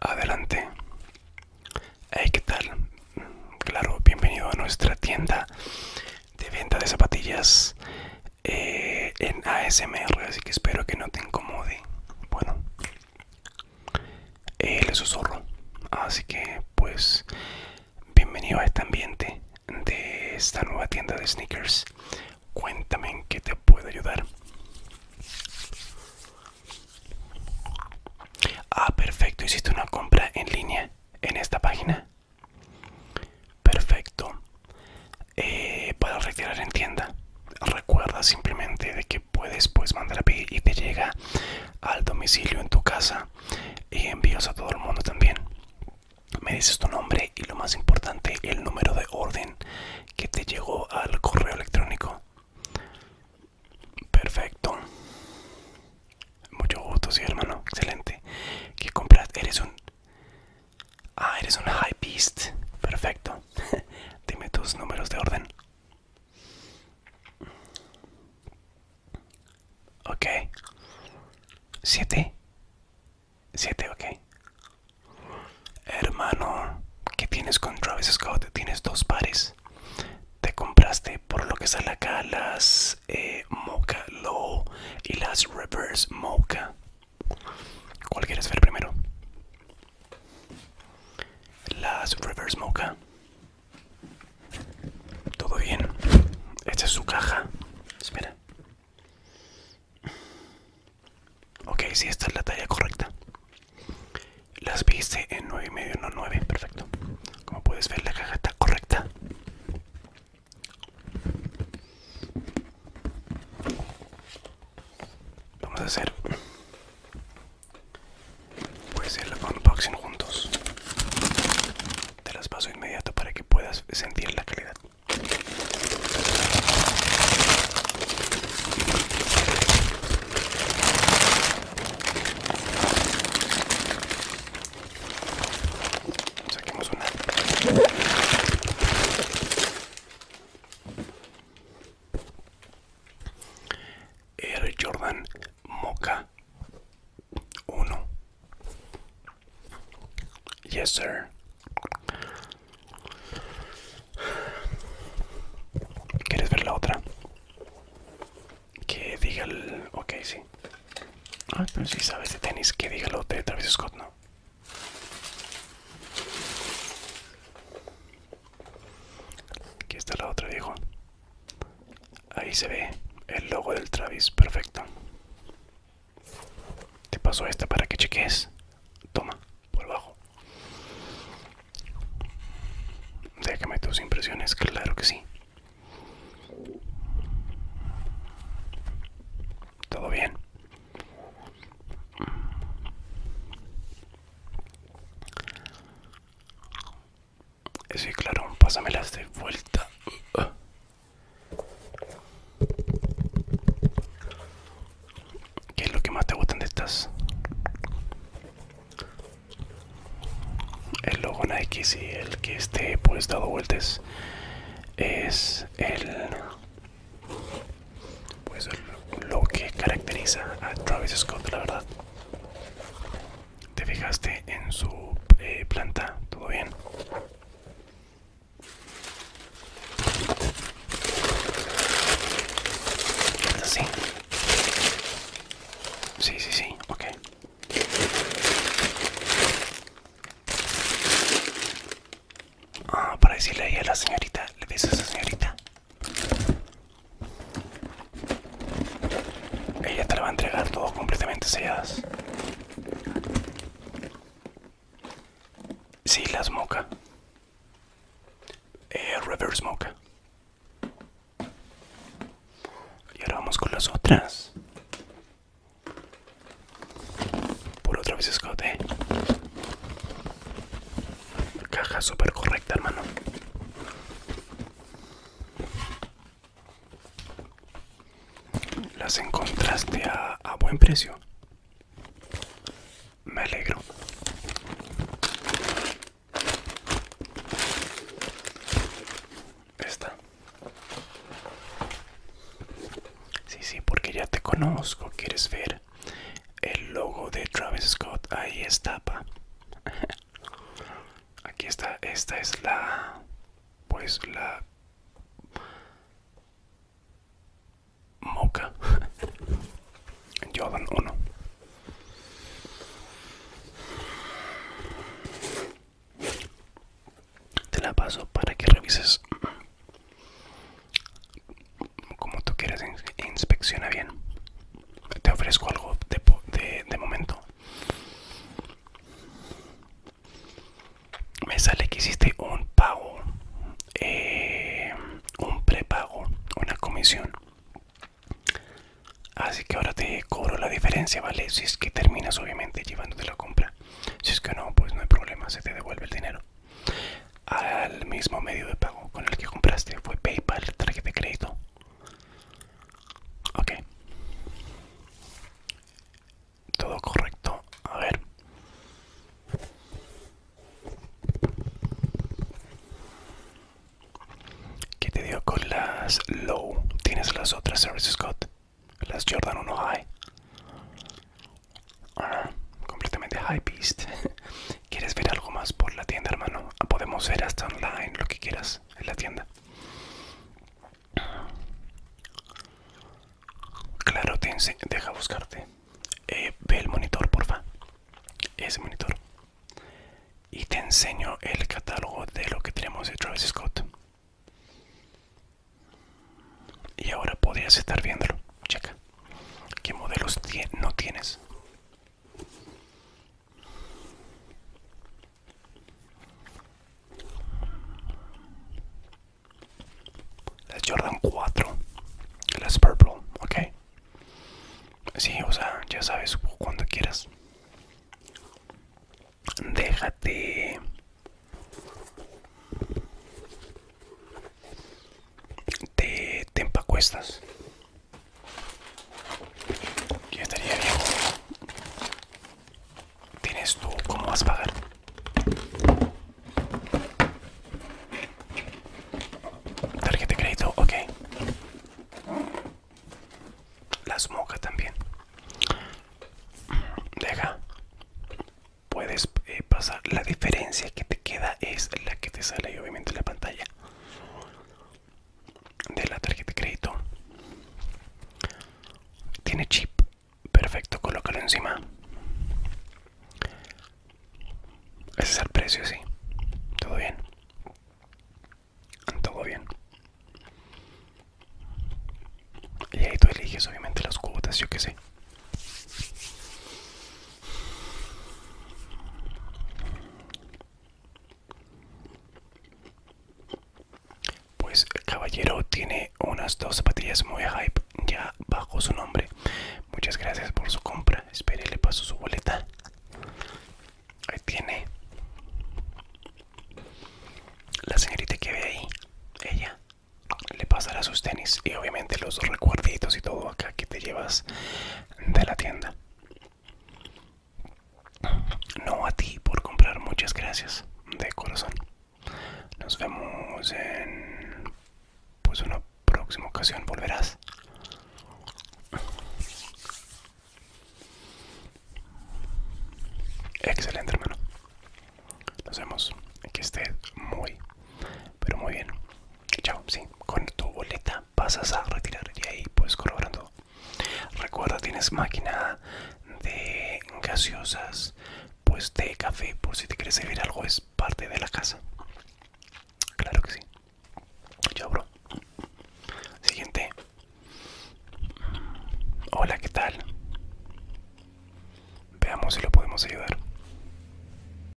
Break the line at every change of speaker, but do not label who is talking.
Adelante. Hey, ¿qué tal? Claro, bienvenido a nuestra tienda de venta de zapatillas eh, en ASMR, así que espero que no te incomode. Bueno, el eh, susurro, así que pues bienvenido a este ambiente de esta nueva tienda de sneakers Cuéntame en qué te puedo ayudar. Ah, perfecto. Hiciste una compra en línea en esta página. Perfecto. Eh, para retirar en tienda. Recuerda simplemente de que puedes pues mandar a pedir y te llega al domicilio en tu casa y envíos a todo el mundo también me dices tu nombre y lo más importante el número de orden que te llegó al correo electrónico perfecto mucho gusto sí hermano excelente que compras eres un ah eres un high beast perfecto dime tus números de orden ok 7 Siete, ok. Hermano, ¿qué tienes con Travis Scott? Tienes dos pares. Te compraste por lo que sale acá las eh, Mocha Low y las Reverse Mocha. ¿Cuál quieres ver primero? Las Reverse Mocha. Todo bien. Esta es su caja. Espera. Ok, si esta es la talla correcta. Las viste en 9.5, y medio, no 9, perfecto. Como puedes ver, la caja está correcta. Vamos a hacer. Pues el unboxing juntos te las paso inmediato para que puedas sentir la calidad saquemos una Air Jordan Mocha 1 Yes, sir. ¿Quieres ver la otra? Que diga el... Ok, sí. Ah, pero pues si sabes de tenis, que diga lo de Travis Scott, ¿no? Aquí está la otra, dijo Ahí se ve el logo del Travis, perfecto. Te paso esta para que cheques. Toma, por abajo. Déjame tus impresiones, claro que sí. Todo bien. Sí, claro, pásamelas de vuelta. ¿Qué es lo que más te gustan de estas? El logo Nike, sí, el que esté pues dado vueltas es el pues lo que caracteriza a Travis Scott, la verdad. ¿Te fijaste en su eh, planta? ¿Todo bien? ¿Así? Sí, sí, sí, ok. Ah, para decirle ahí a la señorita, ¿le beso a esa señorita? Ella te la va a entregar todo completamente selladas. Sí, las moca. Eh, reverse moca. Y ahora vamos con las otras. Por otra vez escote. Eh. Caja súper correcta, hermano. Las encontraste a, buen precio. Me alegro. Esta. Sí, sí, porque ya te conozco. ¿Quieres ver el logo de Travis Scott? Ahí está, pa aquí está esta es la pues la moca Jordan uno. te la paso para que revises como tú quieras inspecciona bien te ofrezco algo de, momento. Me sale que hiciste un pago, eh, un prepago, una comisión. Así que ahora te cobro la diferencia, ¿vale? Si es que terminas obviamente llevándote la compra. Si es que no, pues no hay problema, se te devuelve el dinero. Al mismo medio de pago con el que compraste fue PayPal, traje de crédito Ok. Todo correcto. A ver. ¿Qué te dio con las low? ¿Tienes las otras services Scott? Las Jordan 1 High. Ah, completamente high beast. ¿Quieres ver algo más por la tienda, hermano? Podemos ver hasta online, lo que quieras en la tienda. Claro, deja buscarte. Eh, ve el monitor, porfa. Ese monitor. Y te enseño el catálogo de lo que tenemos de Travis Scott. Y ahora podrías estar viéndolo. Checa. ¿Qué modelos no tienes? Las Jordan 4. Las Purple, ok. Sí, o sea, ya sabes cuando quieras. Déjate te, tempacuestas. cuestas estaría bien. ¿Tienes tú cómo vas a pagar? Tarjeta de crédito, ok. Las mocas también. Deja. Puedes eh, pasar. La diferencia que te queda es la que te sale obviamente en la pantalla de la tarjeta de crédito tiene chip perfecto colócalo encima ese es el precio sí todo bien todo bien y ahí tú eliges obviamente las cuotas yo que sé pues el caballero tiene unas dos zapatillas muy hype ya bajo su nombre. Muchas gracias por su compra. Espere, le paso su boleta. Ahí tiene. La señorita que ve ahí, ella le pasará sus tenis y obviamente los recuerditos y todo acá que te llevas de la tienda. No a ti por comprar, muchas gracias de corazón. Nos vemos en pues una próxima ocasión. Volverás. Excelente hermano. Nos vemos. Que esté muy, pero muy bien. Chao. con tu boleta pasas a retirar y ahí pues colaborando recuerda tienes máquina de gaseosas pues de café por si te quieres servir algo es parte de la casa claro que sí yo abro siguiente hola qué tal veamos si lo podemos ayudar